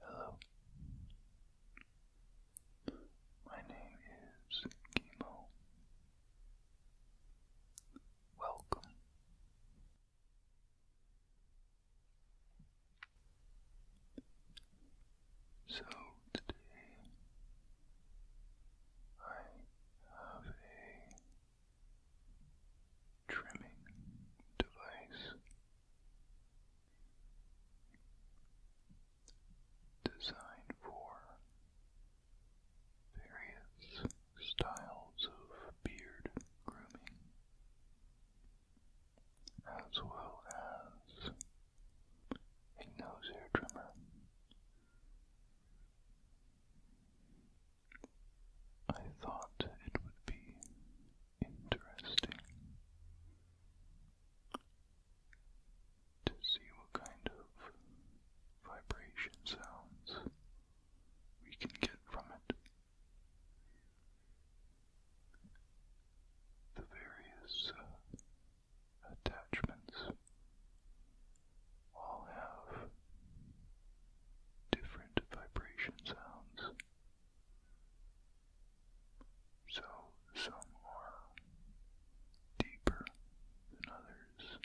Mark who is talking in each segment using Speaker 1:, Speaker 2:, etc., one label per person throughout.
Speaker 1: Hello. My name is Chemo. Welcome. So today I have a trimming device designed for various styles of beard grooming, as well as a nose hair trimmer. I thought it would be interesting to see what kind of vibration sounds we can get from it. The various uh, attachments all have different vibration sounds so some are deeper than others.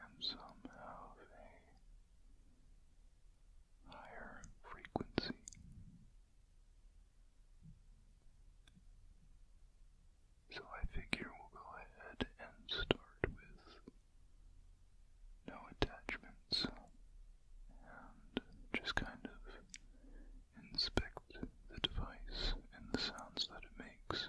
Speaker 1: And some have a higher frequency. So I figure we'll go ahead and start with no attachments and just kind of inspect the device and the sounds that it makes.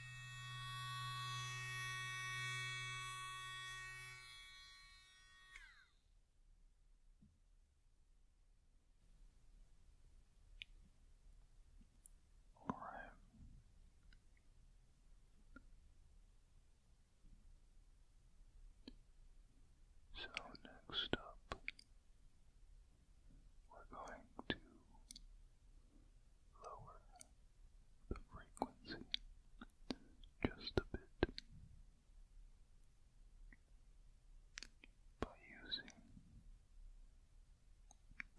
Speaker 1: All right. So next up, we're going to lower the frequency just a bit by using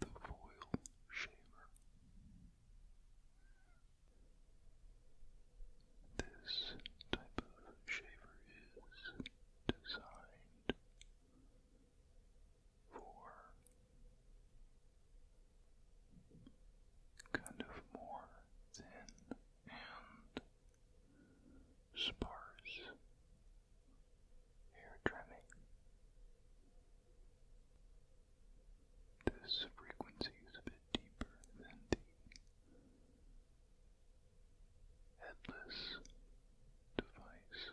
Speaker 1: the foil shaver. This type of shaver is designed for kind of more thin and sparse hair trimming. This frequency is a bit deeper than the headless device.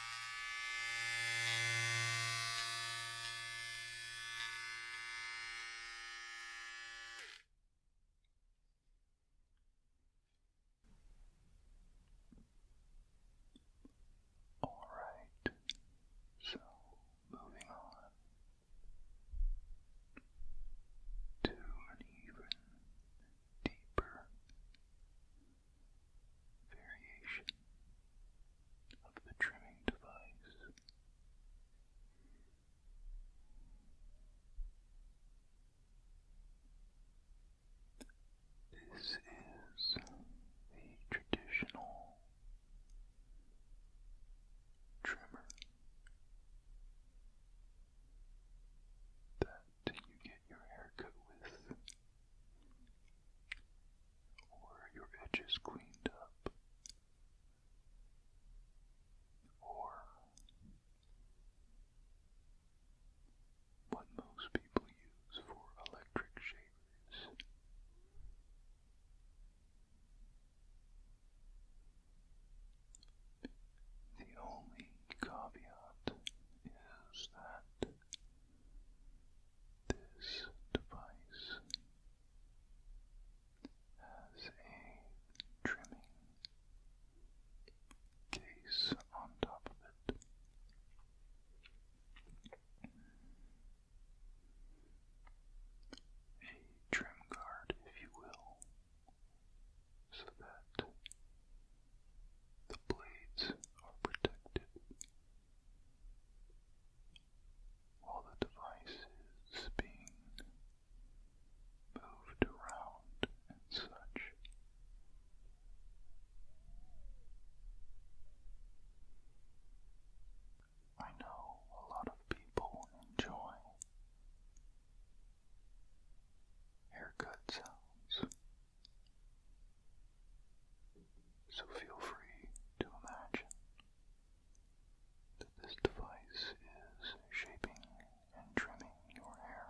Speaker 1: All right, so moving on to an even deeper variation of the trimming device. This is the traditional trimmer that you get your haircut with or your edges cleaned up, or what most people use for electric shavers. The only caveat is that this device has a trimming case on top of it. A trim guard, if you will, so that the blades are protected. While the device is being moved around and such, I know a lot of people enjoy haircut so feel free to imagine that this device is shaping and trimming your hair.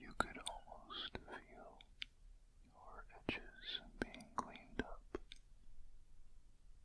Speaker 1: You could almost feel your edges being cleaned up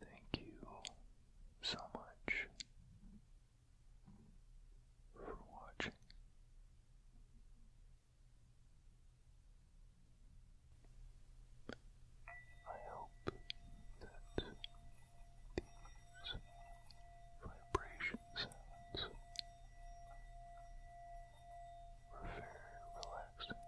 Speaker 1: Thank you so much for watching. I hope that these vibration sounds were very relaxing.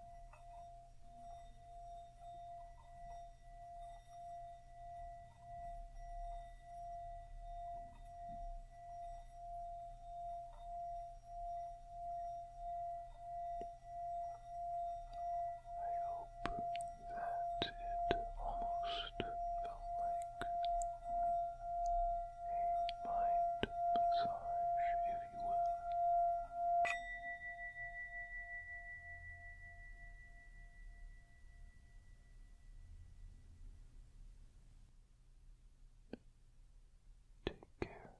Speaker 1: I hope that it almost felt like a mind massage, if you will. Take care.